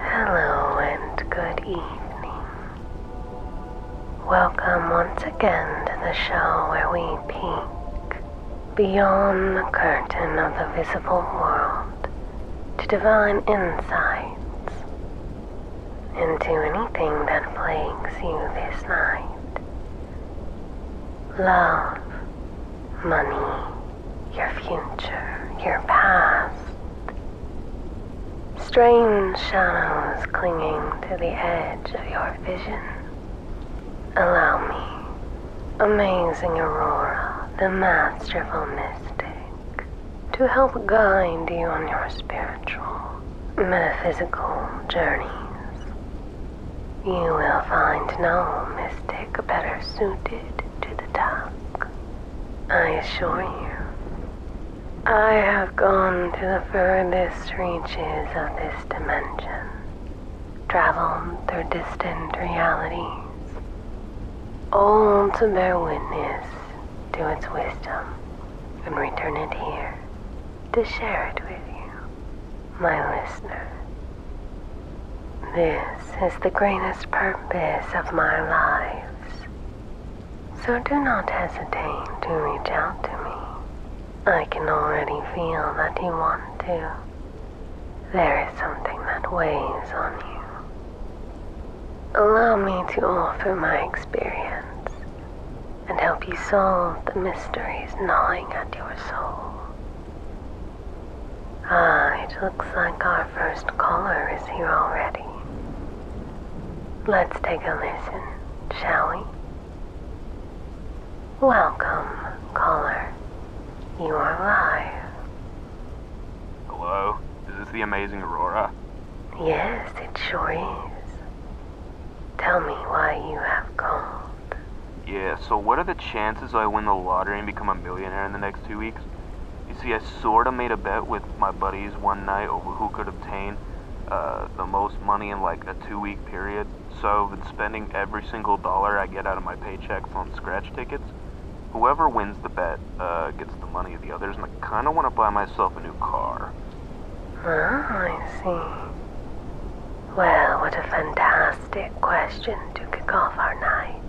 Hello and good evening. Welcome once again to the show where we peek beyond the curtain of the visible world to divine insights into anything that plagues you this night. Love, money, your future, your past. Strange shadows clinging to the edge of your vision. Allow me, amazing Aurora, the masterful mystic, to help guide you on your spiritual metaphysical journeys, you will find no mystic better suited to the task. I assure you, I have gone to the furthest reaches of this dimension, traveled through distant realities, all to bear witness to its wisdom and return it here to share it with you, my listener. This is the greatest purpose of my lives, so do not hesitate to reach out to me. I can already feel that you want to. There is something that weighs on you. Allow me to offer my experience and help you solve the mysteries gnawing at your soul. Ah, it looks like our first caller is here already. Let's take a listen, shall we? Welcome, caller. You are live. Hello, is this the amazing Aurora? Yes, it sure is. Tell me why you have called. Yeah, so what are the chances I win the lottery and become a millionaire in the next two weeks? You see, I sorta made a bet with my buddies one night over who could obtain uh, the most money in like a two week period, so I've been spending every single dollar I get out of my paychecks on scratch tickets. Whoever wins the bet uh, gets the money of the others, and I kinda wanna buy myself a new car. Ah, I see. Well, what a fantastic question to kick off our night.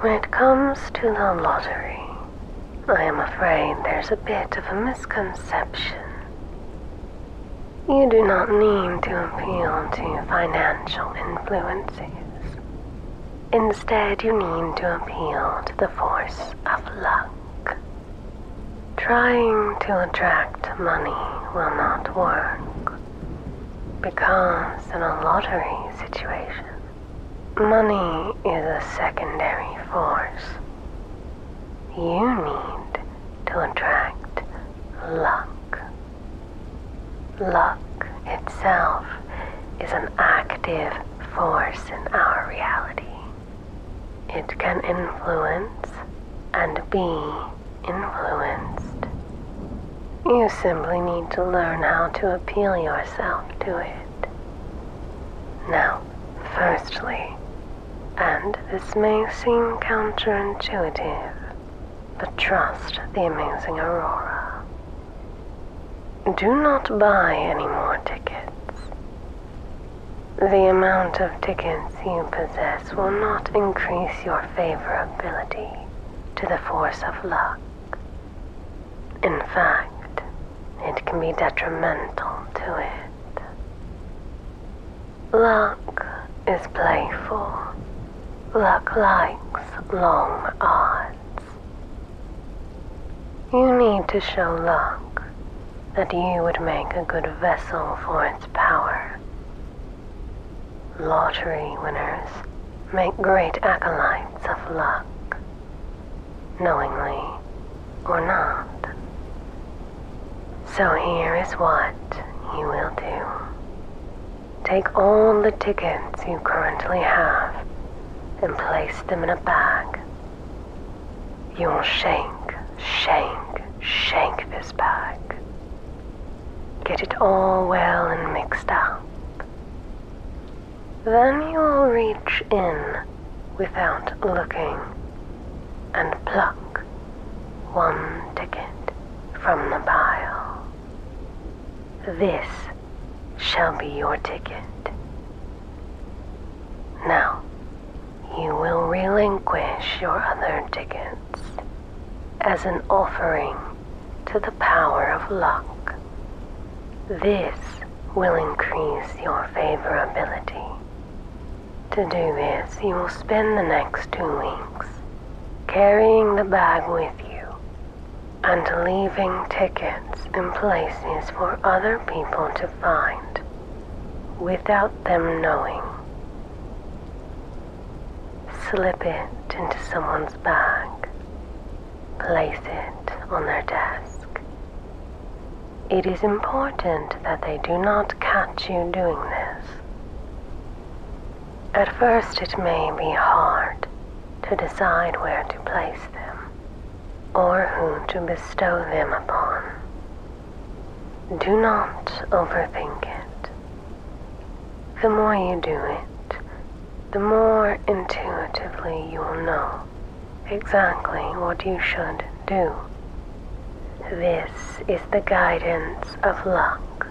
When it comes to the lottery, I am afraid there's a bit of a misconception. You do not need to appeal to financial influences. Instead, you need to appeal to the force of luck. Trying to attract money will not work because in a lottery situation, money is a secondary force. You need to attract luck. Luck itself is an active force in our reality. It can influence and be influenced. You simply need to learn how to appeal yourself to it. Now, firstly, and this may seem counterintuitive, but trust the amazing Aurora. Do not buy any more tickets. The amount of tickets you possess will not increase your favorability to the force of luck. In fact, it can be detrimental to it. Luck is playful. Luck likes long odds. You need to show luck that you would make a good vessel for its power. Lottery winners make great acolytes of luck, knowingly or not. So here is what you will do. Take all the tickets you currently have and place them in a bag you will shake, shake, shake this bag. Get it all well and mixed up. Then you will reach in without looking and pluck one ticket from the pile. This shall be your ticket. Now, you will relinquish your other tickets as an offering to the power of luck. This will increase your favorability. To do this, you will spend the next two weeks carrying the bag with you and leaving tickets in places for other people to find without them knowing. Slip it into someone's bag. Place it on their desk. It is important that they do not catch you doing this. At first, it may be hard to decide where to place them or who to bestow them upon. Do not overthink it. The more you do it, the more intuitively you will know exactly what you should do. This is the guidance of luck.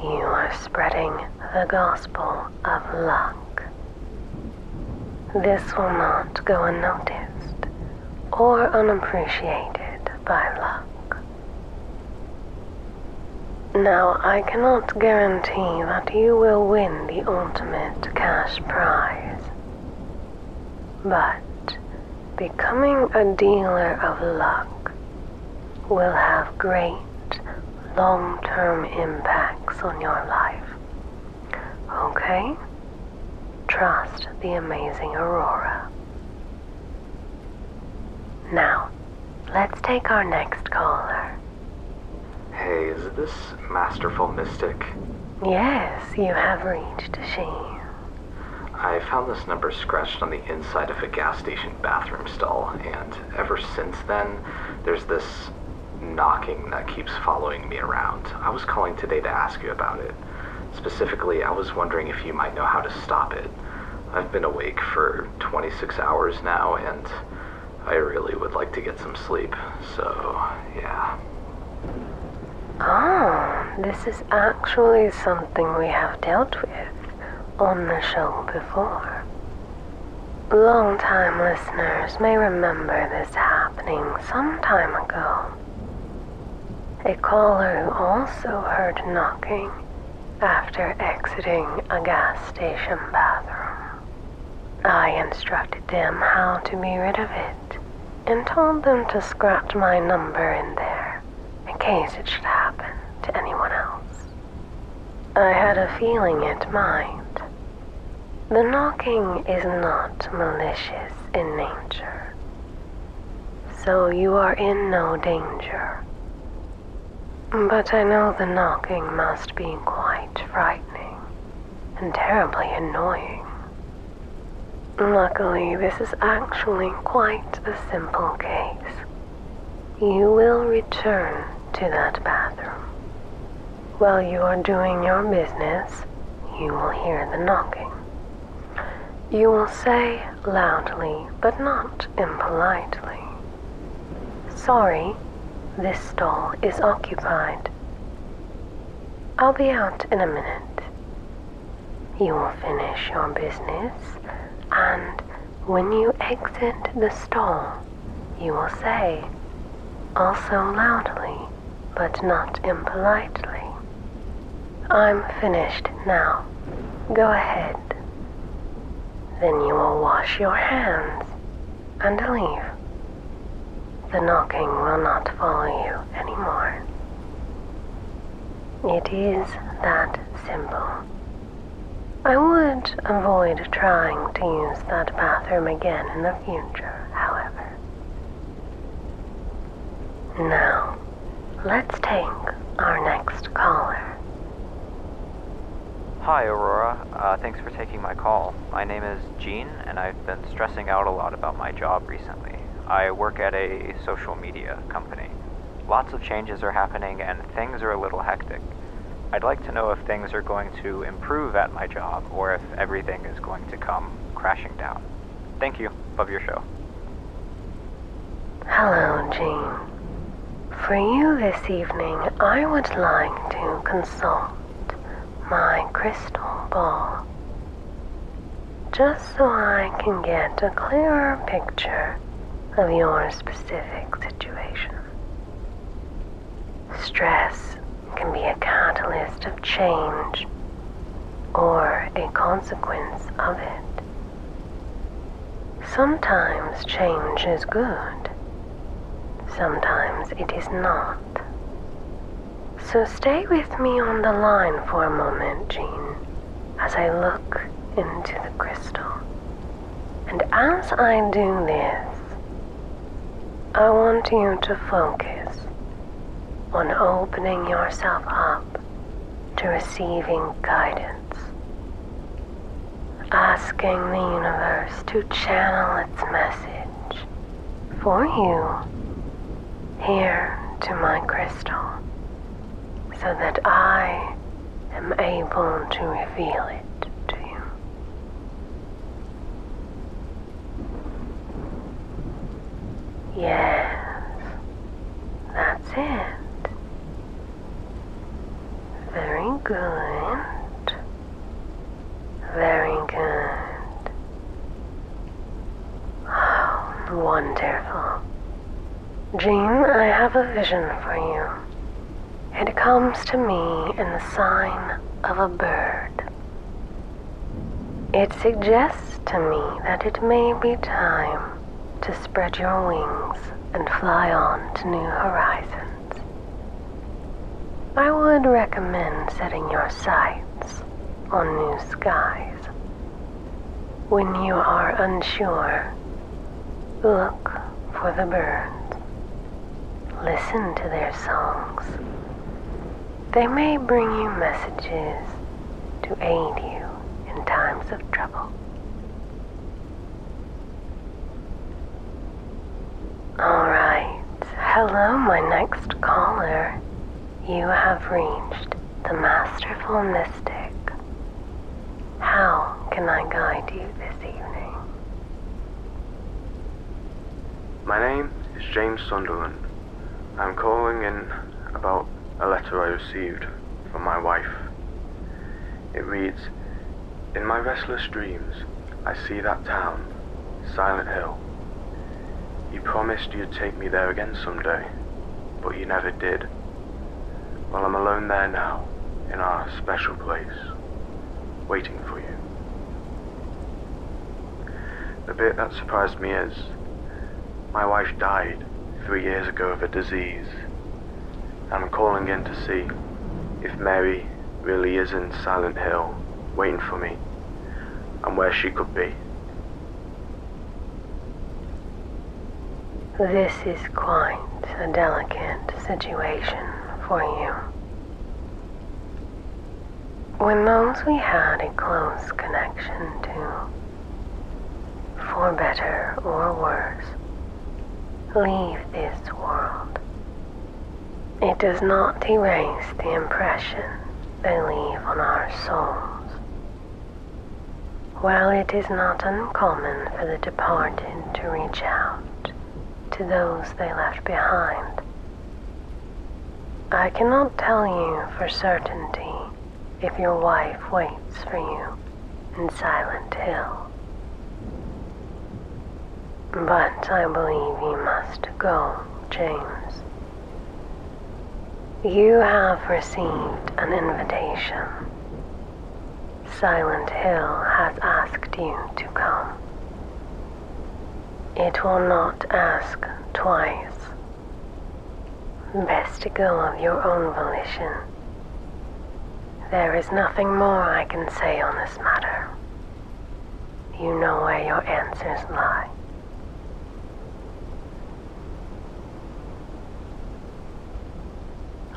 You are spreading the gospel of luck. This will not go unnoticed or unappreciated by luck. Now, I cannot guarantee that you will win the ultimate cash prize, but becoming a dealer of luck will have great long term impacts on your life. Okay? Trust the amazing Aurora. Now, let's take our next caller. Hey, is this Masterful Mystic? Yes, you have reached she. I found this number scratched on the inside of a gas station bathroom stall, and ever since then, there's this knocking that keeps following me around. I was calling today to ask you about it. Specifically, I was wondering if you might know how to stop it. I've been awake for 26 hours now, and I really would like to get some sleep, so yeah. Oh, this is actually something we have dealt with on the show before. Long time listeners may remember this happening some time ago. A caller also heard knocking after exiting a gas station bathroom. I instructed them how to be rid of it and told them to scratch my number in there in case it should happen to anyone else. I had a feeling it might, the knocking is not malicious in nature, so you are in no danger. But I know the knocking must be quite frightening and terribly annoying. Luckily, this is actually quite a simple case. You will return to that bathroom. While you are doing your business, you will hear the knocking. You will say loudly, but not impolitely, Sorry, this stall is occupied. I'll be out in a minute. You will finish your business, and when you exit the stall, you will say, also loudly, but not impolitely. I'm finished now. Go ahead. Then you will wash your hands and leave. The knocking will not follow you anymore. It is that simple. I would avoid trying to use that bathroom again in the future, however. Now, let's take our next caller. Hi, Aurora. Uh, thanks for taking my call. My name is Gene, and I've been stressing out a lot about my job recently. I work at a social media company. Lots of changes are happening, and things are a little hectic. I'd like to know if things are going to improve at my job, or if everything is going to come crashing down. Thank you. Love your show. Hello, Jean. For you this evening, I would like to consult my crystal ball. Just so I can get a clearer picture of your specific situation. Stress can be a catalyst of change or a consequence of it. Sometimes change is good, sometimes it is not. So stay with me on the line for a moment, Jean, as I look into the crystal. And as I do this, I want you to focus on opening yourself up to receiving guidance, asking the universe to channel its message for you here to my crystal so that I am able to reveal it to you. Yes, that's it. Very good. Very good. Oh, wonderful. Jean, I have a vision for you. It comes to me in the sign of a bird. It suggests to me that it may be time to spread your wings and fly on to new horizons. I would recommend setting your sights on new skies. When you are unsure, look for the birds. Listen to their songs. They may bring you messages to aid you in times of trouble. Alright, hello, my next caller. You have reached the Masterful Mystic. How can I guide you this evening? My name is James Sunderland. I'm calling in about a letter I received from my wife. It reads In my restless dreams, I see that town, Silent Hill. You promised you'd take me there again someday, but you never did. Well, I'm alone there now, in our special place, waiting for you. The bit that surprised me is my wife died three years ago of a disease. I'm calling in to see if Mary really is in Silent Hill waiting for me and where she could be. This is quite a delicate situation for you. When those we had a close connection to. For better or worse, leave this world. It does not erase the impression they leave on our souls. While it is not uncommon for the departed to reach out to those they left behind, I cannot tell you for certainty if your wife waits for you in Silent Hill. But I believe you must go, James. You have received an invitation. Silent Hill has asked you to come. It will not ask twice Best to go of your own volition. There is nothing more I can say on this matter. You know where your answers lie.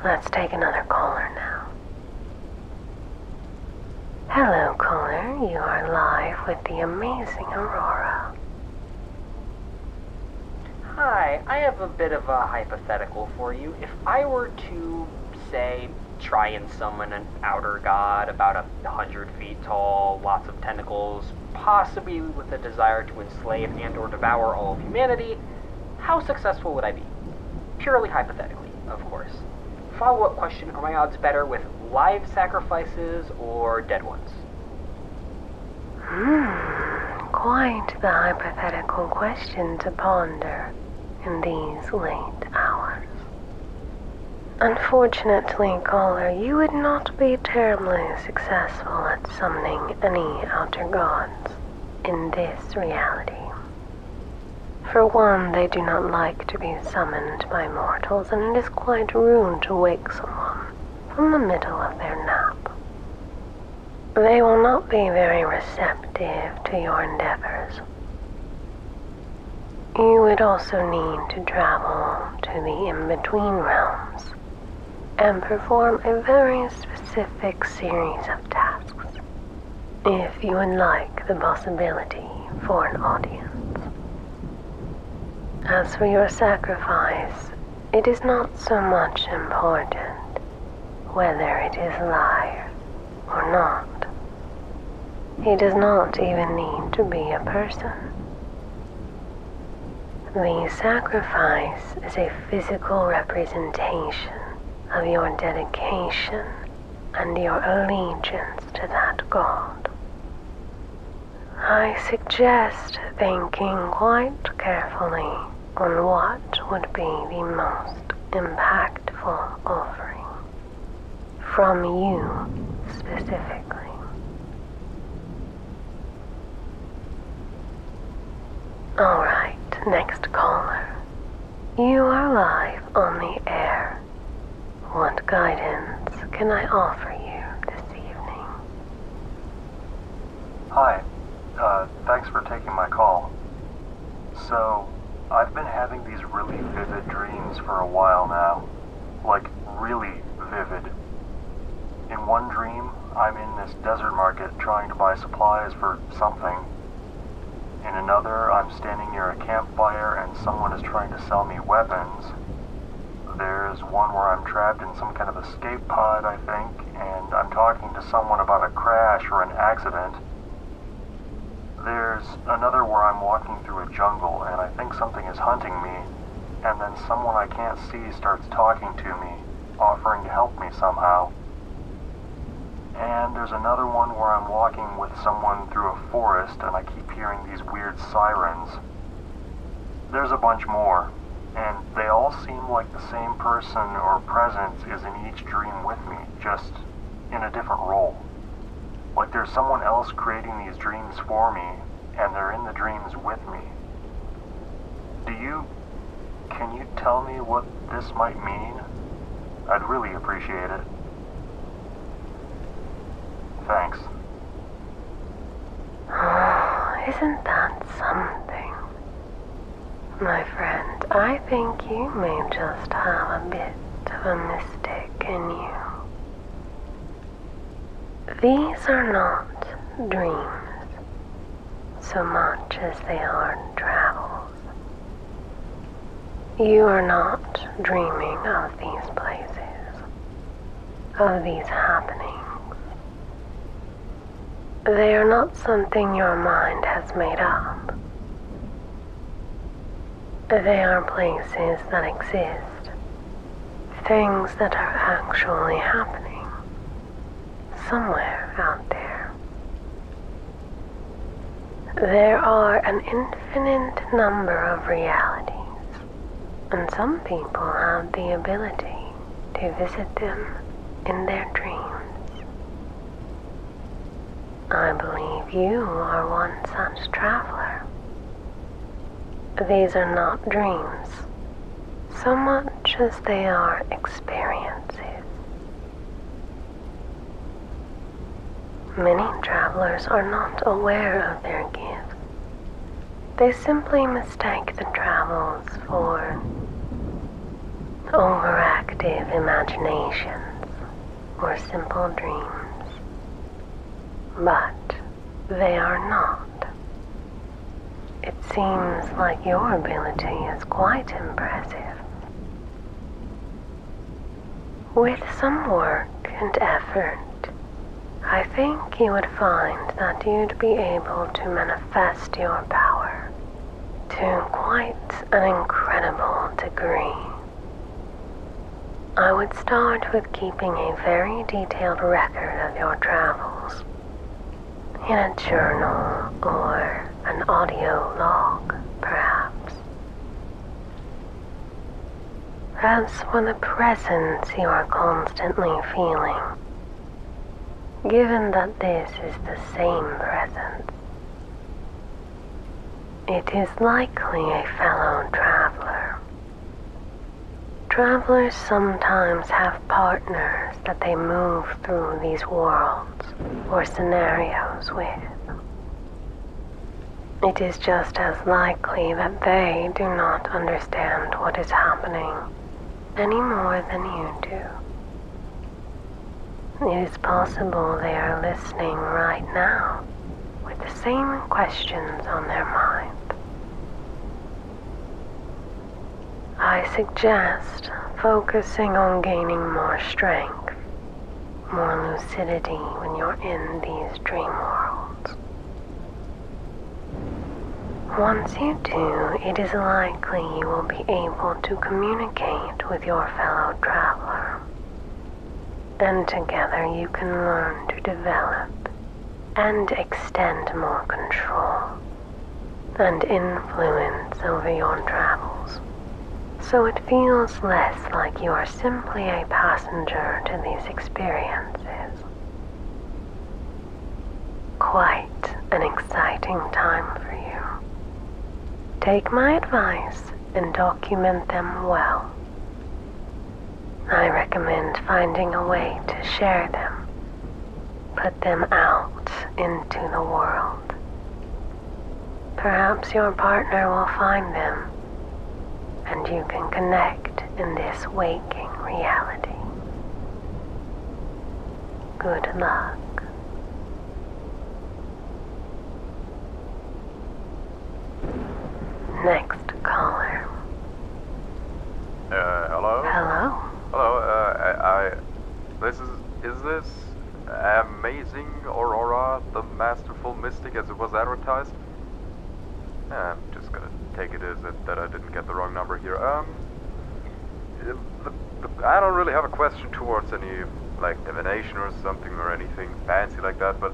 Let's take another caller now. Hello, caller. You are live with the amazing Aurora. Hi, I have a bit of a hypothetical for you. If I were to, say, try and summon an outer god about a hundred feet tall, lots of tentacles, possibly with a desire to enslave and or devour all of humanity, how successful would I be? Purely hypothetically, of course. Follow-up question, are my odds better with live sacrifices or dead ones? Hmm, quite the hypothetical question to ponder in these late hours. Unfortunately, caller, you would not be terribly successful at summoning any outer gods in this reality. For one, they do not like to be summoned by mortals and it is quite rude to wake someone from the middle of their nap. They will not be very receptive to your endeavors. You would also need to travel to the in-between realms and perform a very specific series of tasks if you would like the possibility for an audience. As for your sacrifice, it is not so much important whether it is live or not. He does not even need to be a person. The sacrifice is a physical representation of your dedication and your allegiance to that God. I suggest thinking quite carefully on what would be the most impactful offering from you specifically. Alright, next caller. You are live on the air. What guidance can I offer you this evening? Hi. Uh, thanks for taking my call. So, I've been having these really vivid dreams for a while now. Like, really vivid. In one dream, I'm in this desert market trying to buy supplies for something. In another, I'm standing near a campfire and someone is trying to sell me weapons. There's one where I'm trapped in some kind of escape pod, I think, and I'm talking to someone about a crash or an accident. There's another where I'm walking through a jungle and I think something is hunting me, and then someone I can't see starts talking to me, offering to help me somehow. And there's another one where I'm walking with someone through a forest and I keep hearing these weird sirens. There's a bunch more, and they all seem like the same person or presence is in each dream with me, just in a different role. Like there's someone else creating these dreams for me, and they're in the dreams with me. Do you. Can you tell me what this might mean? I'd really appreciate it. Thanks. isn't that something? My friend, I think you may just have a bit of a mistake in you. These are not dreams so much as they are travels. You are not dreaming of these places of these happenings. They are not something your mind has made up. They are places that exist, things that are actually happening somewhere out there. There are an infinite number of realities and some people have the ability to visit them in their dreams. I believe you are one such traveler. These are not dreams so much as they are experiences. Many travelers are not aware of their gift they simply mistake the travels for overactive imaginations or simple dreams. But they are not. It seems like your ability is quite impressive. With some work and effort, I think you would find that you'd be able to manifest your power to quite an incredible degree. I would start with keeping a very detailed record of your travels in a journal or an audio log, perhaps. As for the presence you are constantly feeling, given that this is the same presence, it is likely a fellow traveler. Travelers sometimes have partners that they move through these worlds or scenarios with. It is just as likely that they do not understand what is happening any more than you do. It is possible they are listening right now with the same questions on their mind. I suggest focusing on gaining more strength, more lucidity when you're in these dream worlds. Once you do, it is likely you will be able to communicate with your fellow traveler. And together you can learn to develop and extend more control and influence over your travels. So it feels less like you are simply a passenger to these experiences Quite an exciting time for you. Take my advice and document them well. I recommend finding a way to share them, put them out into the world. Perhaps your partner will find them and you can connect in this waking reality. Good luck. Next caller. Uh, hello? Hello? Hello, uh, I, This is. Is this. Amazing Aurora, the masterful mystic as it was advertised? I'm just gonna take it as that I didn't get the wrong number here. Um, I don't really have a question towards any, like, divination or something or anything fancy like that, but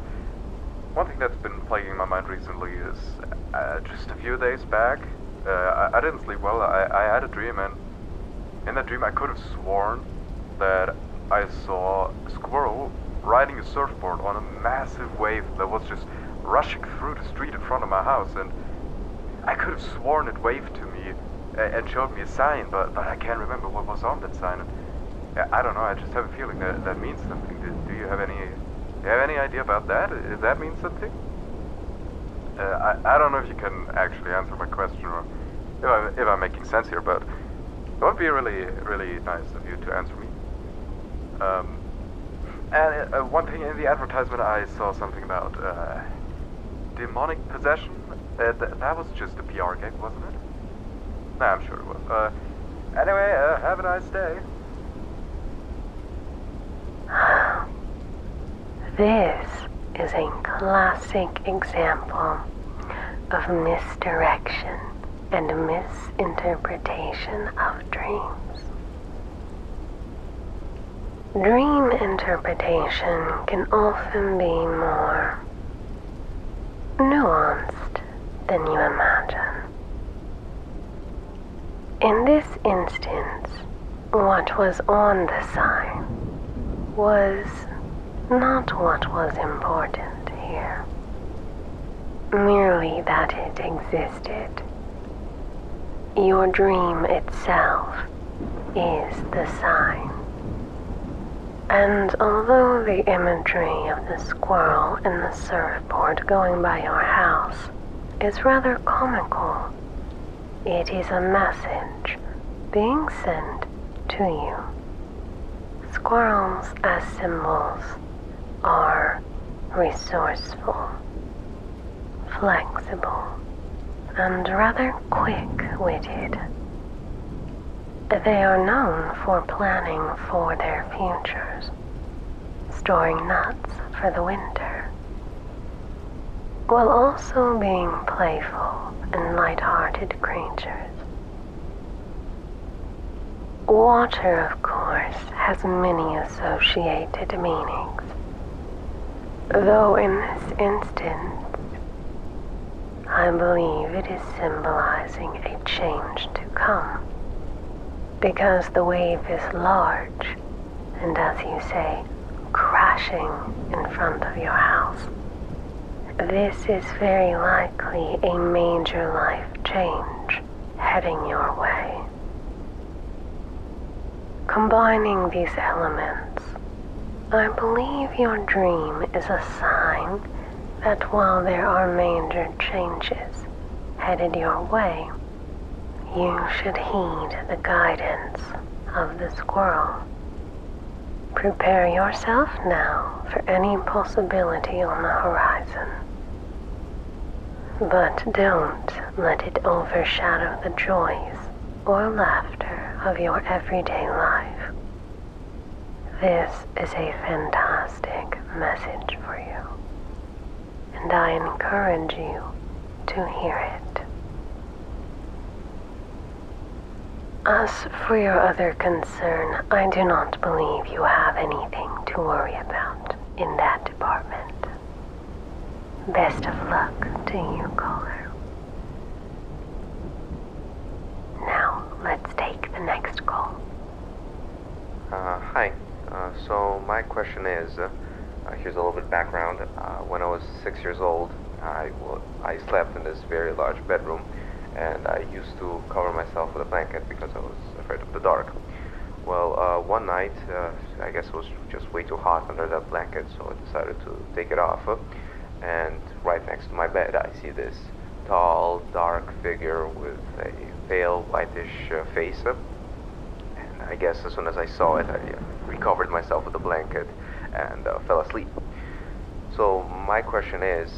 one thing that's been plaguing my mind recently is uh, just a few days back, uh, I, didn't sleep well. I, I had a dream, and in that dream, I could have sworn that I saw a squirrel riding a surfboard on a massive wave that was just rushing through the street in front of my house, and I could have sworn it waved to me uh, and showed me a sign, but, I can't remember what was on that sign. Uh, I don't know, I just have a feeling that that means something. Do, you have any have any idea about that? Uh, that means something? I, I don't know if you can actually answer my question or if I'm making sense here, but it would be really, really nice of you to answer me. Um, and uh, one thing in the advertisement, I saw something about uh, demonic possession. Uh, that was just a PR gig, wasn't it? I'm sure it was. Uh, anyway, have a nice day. This is a classic example of misdirection and misinterpretation of dreams. Dream interpretation can often be more nuanced than you imagine. In this instance, what was on the sign was not what was important here merely that it existed. Your dream itself is the sign. And although the imagery of the squirrel and the surfboard going by your house is rather comical, it is a message being sent to you. Squirrels as symbols are resourceful, flexible, and rather quick witted. They are known for planning for their futures, storing nuts for the winter, while also being playful and light-hearted creatures. Water, of course, has many associated meanings, though in this instance, I believe it is symbolizing a change to come, because the wave is large and, as you say, crashing in front of your house. This is very likely a major life change heading your way. Combining these elements, I believe your dream is a sign that while there are major changes headed your way, you should heed the guidance of the squirrel. Prepare yourself now for any possibility on the horizon. But don't let it overshadow the joys or laughter of your everyday life. This is a fantastic message for you, and I encourage you to hear it. As for your other concern, I do not believe you have anything to worry about in that department. Best of luck to you, caller. Now, let's take the next call. Uh, hi. Uh, so, my question is uh, here's a little bit background. when I was six years old, I, I slept in this very large bedroom, and I used to cover myself with a blanket because I was afraid of the dark. Well, uh, one night, uh, I guess it was just way too hot under that blanket, so I decided to take it off. And right next to my bed, I see this tall, dark figure with a pale, whitish uh, face. And I guess as soon as I saw it, I recovered myself with the blanket and fell asleep. So my question is,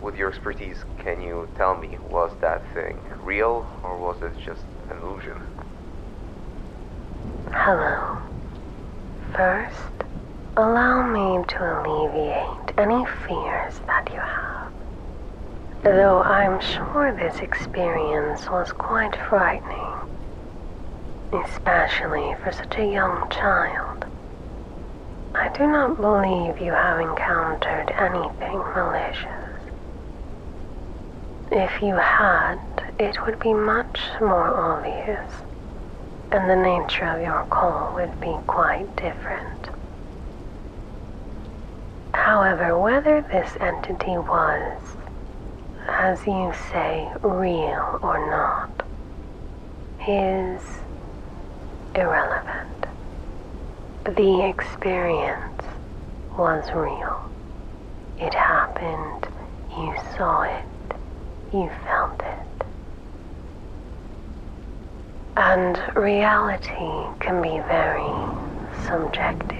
with your expertise, can you tell me was that thing real, or was it just an illusion? Hello. First, allow me to alleviate any fears that you have. Though I'm sure this experience was quite frightening, especially for such a young child. I do not believe you have encountered anything malicious. If you had, it would be much more obvious, and the nature of your call would be quite different. However, whether this entity was, as you say, real or not, is irrelevant. The experience was real. It happened, you saw it, you felt it. And reality can be very subjective.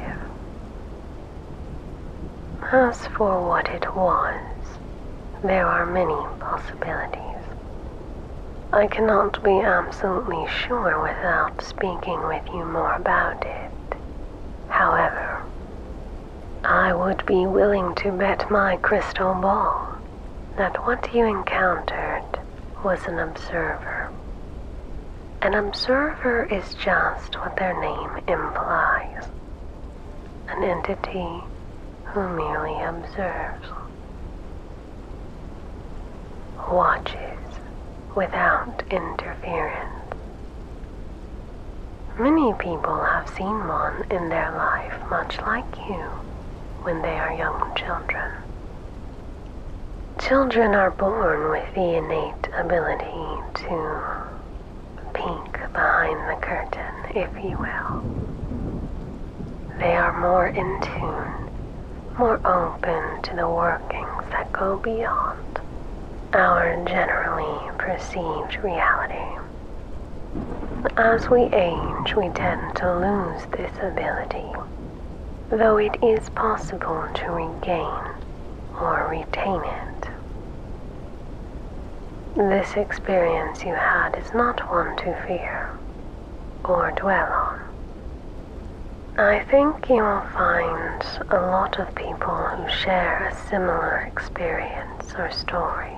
As for what it was, there are many possibilities. I cannot be absolutely sure without speaking with you more about it. However, I would be willing to bet my crystal ball that what you encountered was an observer. An observer is just what their name implies an entity who merely observes watches without interference. Many people have seen one in their life, much like you, when they are young children. Children are born with the innate ability to peek behind the curtain, if you will. They are more in tune more open to the workings that go beyond our generally perceived reality. As we age, we tend to lose this ability, though it is possible to regain or retain it. This experience you had is not one to fear or dwell on. I think you will find a lot of people who share a similar experience or story.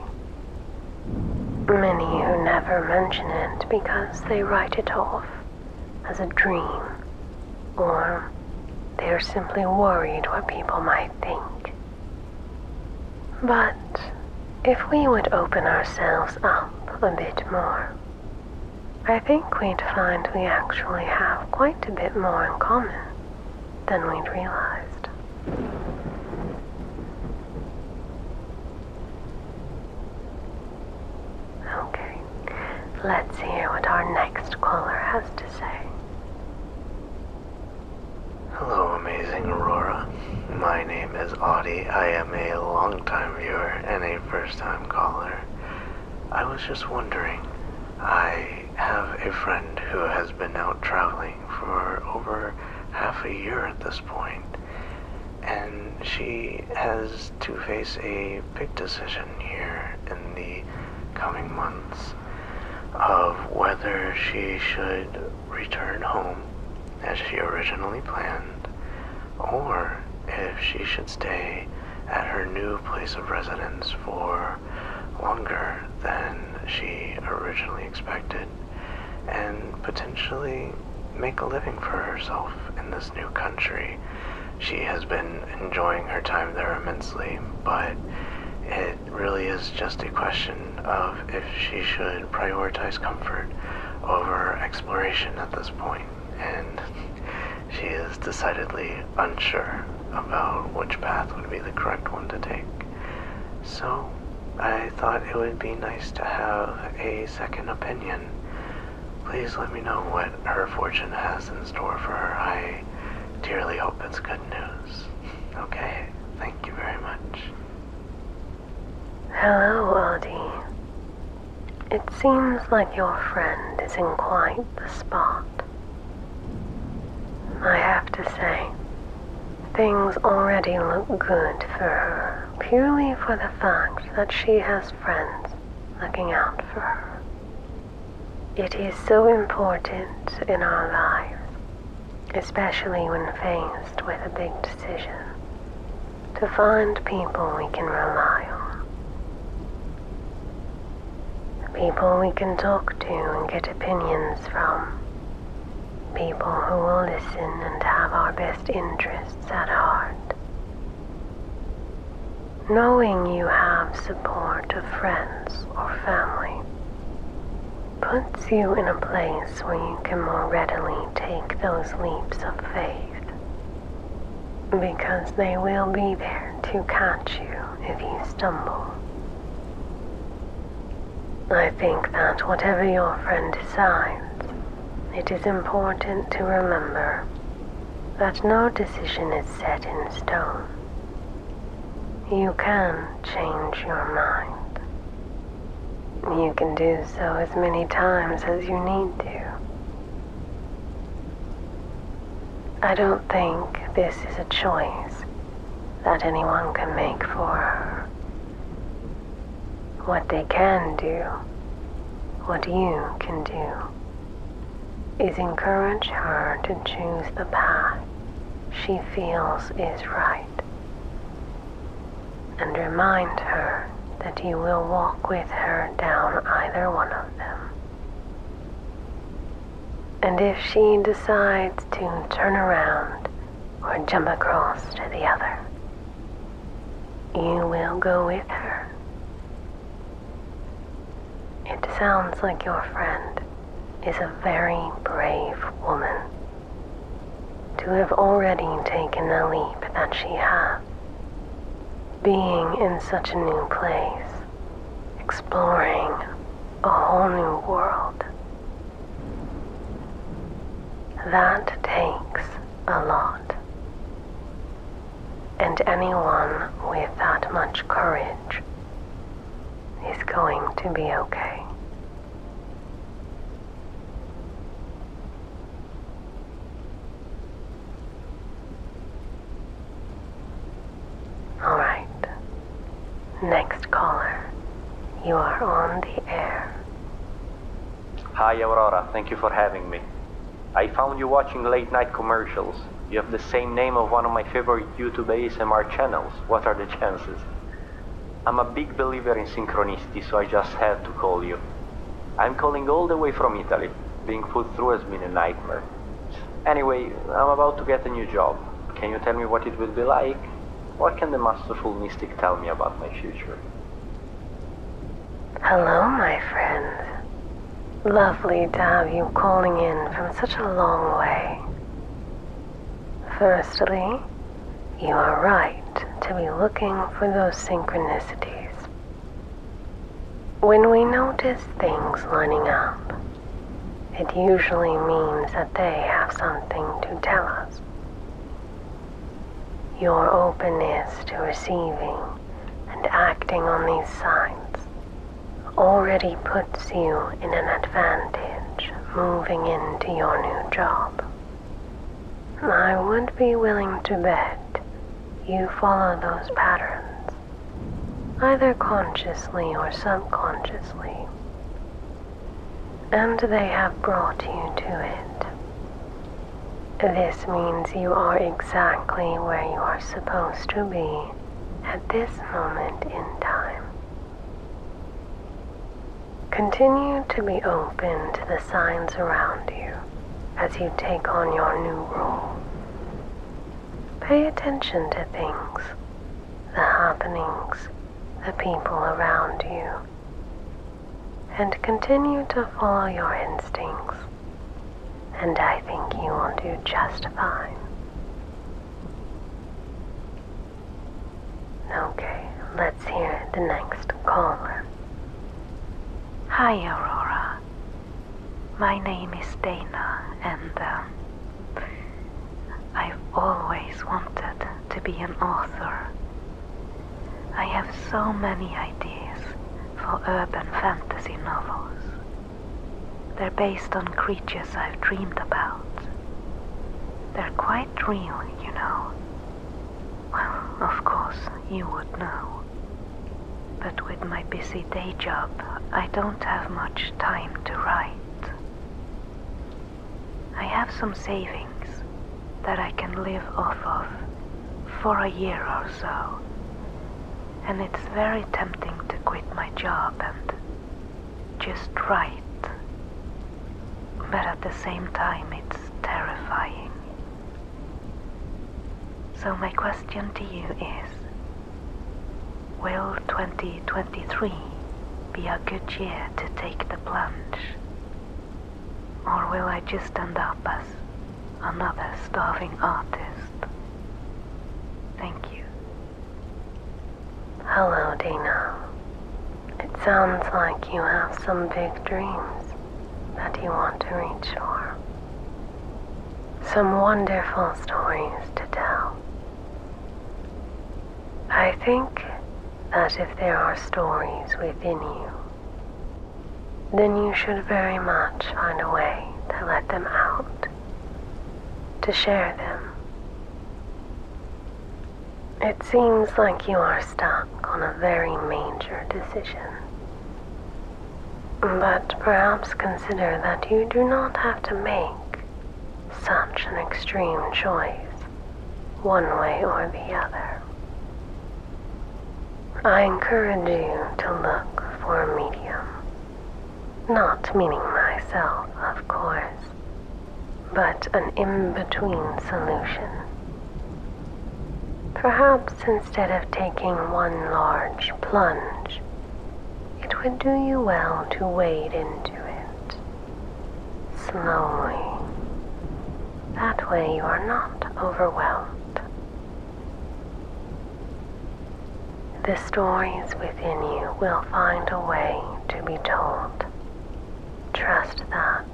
Many who never mention it because they write it off as a dream, or they are simply worried what people might think. But if we would open ourselves up a bit more, I think we'd find we actually have quite a bit more in common than we'd realized. Okay, let's hear what our next caller has to say. Hello, amazing Aurora. My name is Audie. I am a longtime viewer and a first time caller. I was just wondering. I have a friend who has been out traveling for over half a year at this point, and she has to face a big decision here in the coming months of whether she should return home as she originally planned or if she should stay at her new place of residence for longer than she originally expected, and potentially make a living for herself in this new country. She has been enjoying her time there immensely, but it really is just a question of if she should prioritize comfort over exploration at this point and she is decidedly unsure about which path would be the correct one to take. So I thought it would be nice to have a second opinion. Please let me know what her fortune has in store for her. I dearly hope it's good news. Okay, thank you very much. Hello, Aldi. It seems like your friend is in quite the spot. I have to say, things already look good for her purely for the fact that she has friends looking out for her. It is so important in our lives, especially when faced with a big decision to find people we can rely on. People we can talk to and get opinions from. People who will listen and have our best interests at heart. Knowing you have support of friends or family puts you in a place where you can more readily take those leaps of faith because they will be there to catch you if you stumble. I think that whatever your friend decides, it is important to remember that no decision is set in stone. You can change your mind. You can do so as many times as you need to. I don't think this is a choice that anyone can make for her. What they can do, what you can do, is encourage her to choose the path she feels is right and remind her that you will walk with her down either one of them. And if she decides to turn around or jump across to the other, you will go with her. It sounds like your friend is a very brave woman to have already taken the leap that she has. Being in such a new place, exploring a whole new world, that takes a lot. And anyone with that much courage is going to be okay. All right. Next caller, you are on the air. Hi, Aurora. Thank you for having me. I found you watching late night commercials. You have the same name of one of my favorite YouTube ASMR channels. What are the chances? I'm a big believer in synchronicity, so I just had to call you. I'm calling all the way from Italy being put through has been a nightmare. Anyway, I'm about to get a new job. Can you tell me what it will be like? What can the masterful mystic tell me about my future? Hello, my friend. Lovely to have you calling in from such a long way. Firstly, you are right to be looking for those synchronicities. When we notice things lining up, it usually means that they have something to tell us. Your openness to receiving and acting on these signs already puts you in an advantage moving into your new job. I would be willing to bet you follow those patterns, either consciously or subconsciously, and they have brought you to it. This means you are exactly where you are supposed to be at this moment in time. Continue to be open to the signs around you as you take on your new role. Pay attention to things, the happenings, the people around you, and continue to follow your instincts, and I think you will do just fine. Okay, let's hear the next caller. Hi, Aurora. My name is Dana, and um, I've always wanted to be an author. I have so many ideas for urban fantasy novels. They're based on creatures I've dreamed about. They're quite real, you know. Well, of course, you would know. But with my busy day job, I don't have much time to write. I have some savings that I can live off of for a year or so. And it's very tempting to quit my job and just write. But at the same time, it's terrifying. So, my question to you is Will 2023 be a good year to take the plunge? Or will I just end up as another starving artist? Thank you. Hello, Dana. It sounds like you have some big dreams that you want to reach for. Some wonderful stories to tell. I think that if there are stories within you, then you should very much find a way to let them out, to share them. It seems like you are stuck on a very major decision but perhaps consider that you do not have to make such an extreme choice, one way or the other. I encourage you to look for a medium. Not meaning myself, of course, but an in between solution. Perhaps instead of taking one large plunge, it would do you well to wade into it slowly. That way you are not overwhelmed. The stories within you will find a way to be told. Trust that.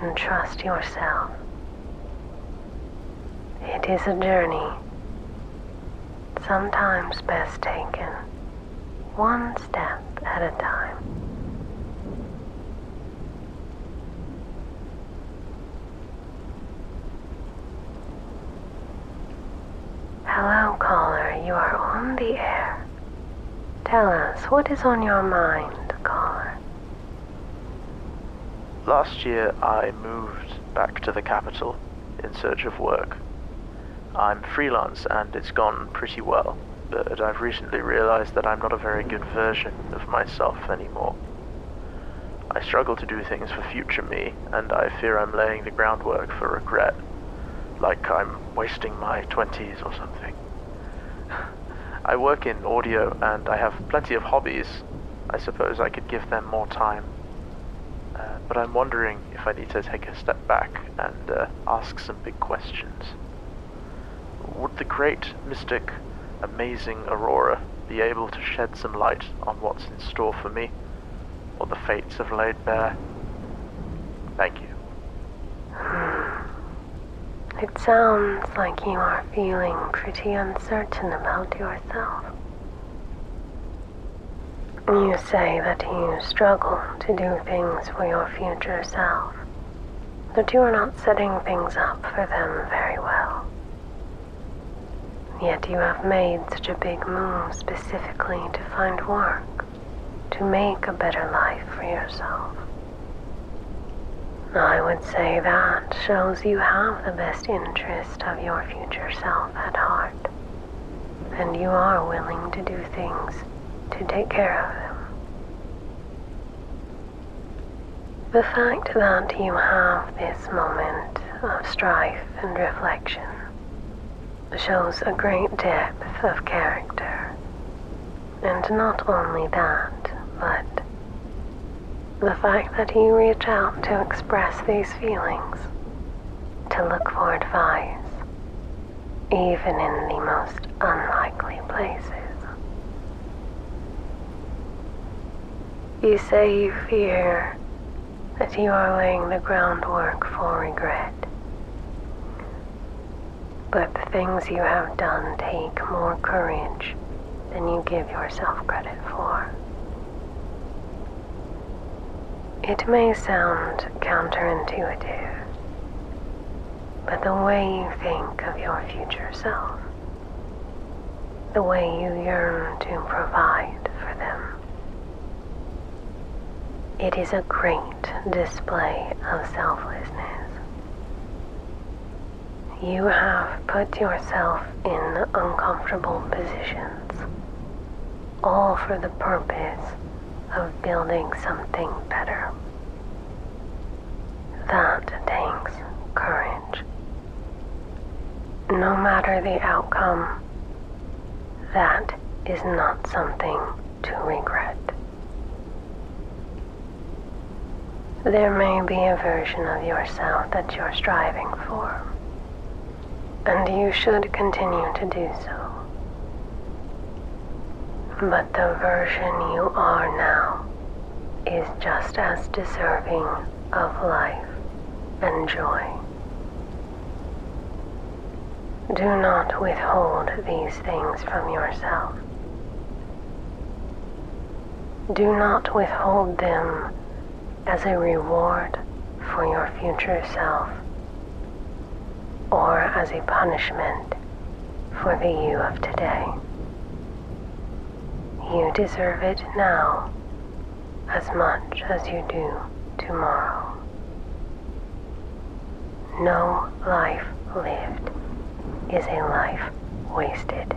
And trust yourself it is a journey, sometimes best taken one step at a time. Hello, caller, you are on the air. Tell us what is on your mind, caller. Last year I moved back to the capital in search of work. I'm freelance and it's gone pretty well, but I've recently realized that I'm not a very good version of myself anymore. I struggle to do things for future me, and I fear I'm laying the groundwork for regret, like I'm wasting my 20s or something. I work in audio and I have plenty of hobbies. I suppose I could give them more time. Uh, but I'm wondering if I need to take a step back and uh, ask some big questions. Would the great, mystic, amazing Aurora be able to shed some light on what's in store for me, or the fates have laid bare? Thank you. It sounds like you are feeling pretty uncertain about yourself. You say that you struggle to do things for your future self, that you are not setting things up for them very well. Yet you have made such a big move specifically to find work, to make a better life for yourself. I would say that shows you have the best interest of your future self at heart, and you are willing to do things to take care of them. The fact that you have this moment of strife and reflection shows a great depth of character. And not only that, but the fact that you reach out to express these feelings, to look for advice, even in the most unlikely places. You say you fear that you are laying the groundwork for regret. But the things you have done take more courage than you give yourself credit for. It may sound counterintuitive, but the way you think of your future self, the way you yearn to provide for them, it is a great display of selflessness. You have put yourself in uncomfortable positions, all for the purpose of building something better. That takes courage. No matter the outcome, that is not something to regret. There may be a version of yourself that you're striving for, and you should continue to do so. But the version you are now is just as deserving of life and joy. Do not withhold these things from yourself. Do not withhold them as a reward for your future self or as a punishment for the you of today. You deserve it now as much as you do tomorrow. No life lived is a life wasted.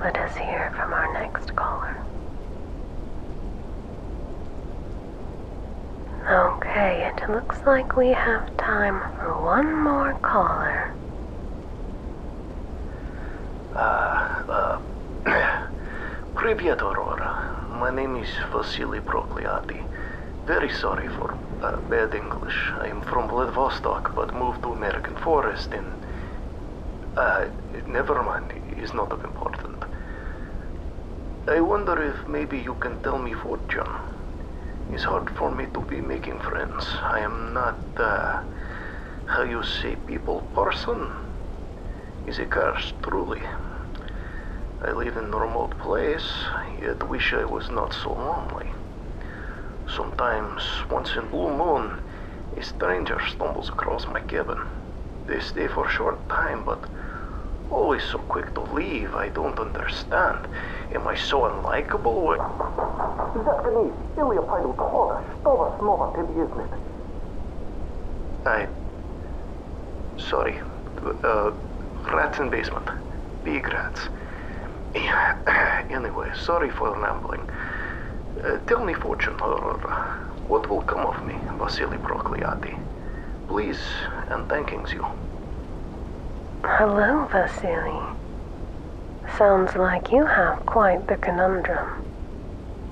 Let us hear from our next caller. Okay, it looks like we have time for one more caller. Uh, uh, Привет, Aurora. My name is Vasily Prokliati. Very sorry for uh, bad English. I am from Vladivostok, but moved to American Forest in uh, never mind, it's not of importance. I wonder if maybe you can tell me fortune. It's hard for me to be making friends. I am not, uh, how you say, people person. Is a curse, truly. I live in a remote place, yet wish I was not so lonely. Sometimes, once in blue moon, a stranger stumbles across my cabin. They stay for a short time, but always so quick to leave. I don't understand. Am I so unlikable? Japanese, Ilya Paidu Kohora, Stova Snova Tibiznit. I. Sorry. Uh, rats in basement. Big rats. anyway, sorry for rambling. Uh, tell me fortune, or What will come of me, Vasily Prokliati? Please, and thankings you. Hello, Vasily. Sounds like you have quite the conundrum.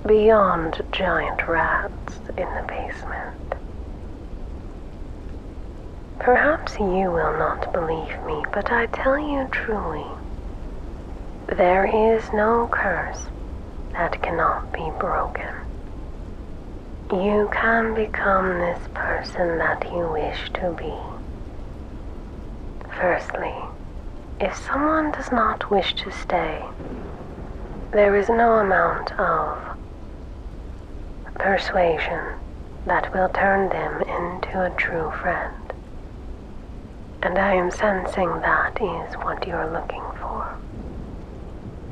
Beyond giant rats in the basement. Perhaps you will not believe me, but I tell you truly, there is no curse that cannot be broken. You can become this person that you wish to be. Firstly, if someone does not wish to stay, there is no amount of persuasion that will turn them into a true friend. And I am sensing that is what you're looking for.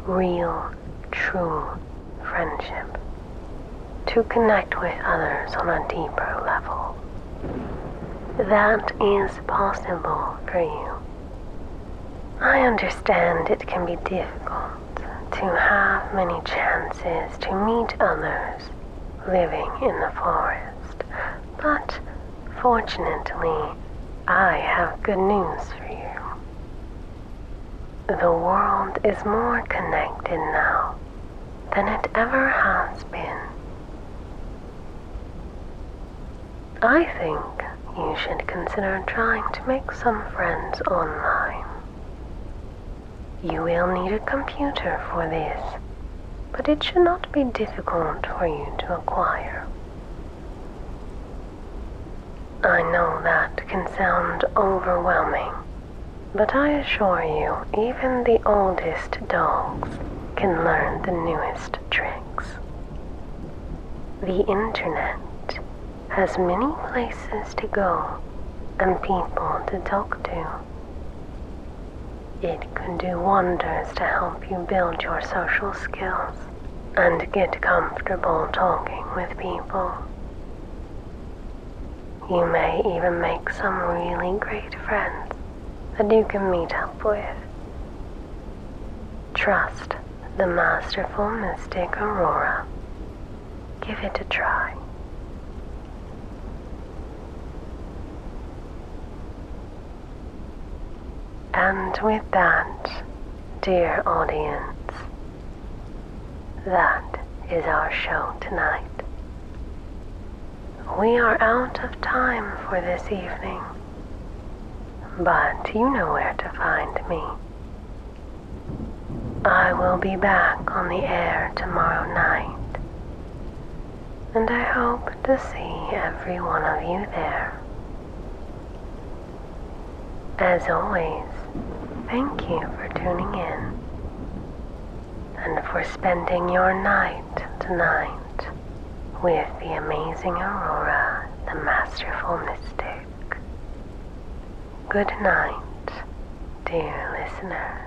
Real, true friendship. To connect with others on a deeper level. That is possible for you. I understand it can be difficult to have many chances to meet others living in the forest. But fortunately, I have good news for you. The world is more connected now than it ever has been. I think you should consider trying to make some friends online. You will need a computer for this, but it should not be difficult for you to acquire. I know that can sound overwhelming, but I assure you, even the oldest dogs can learn the newest tricks. The internet has many places to go and people to talk to. It can do wonders to help you build your social skills and get comfortable talking with people. You may even make some really great friends that you can meet up with. Trust the masterful mystic Aurora. Give it a try. And with that, dear audience, that is our show tonight. We are out of time for this evening, but you know where to find me. I will be back on the air tomorrow night and I hope to see every one of you there. As always, thank you for tuning in and for spending your night tonight with the amazing Aurora, the masterful mystic. Good night dear listener.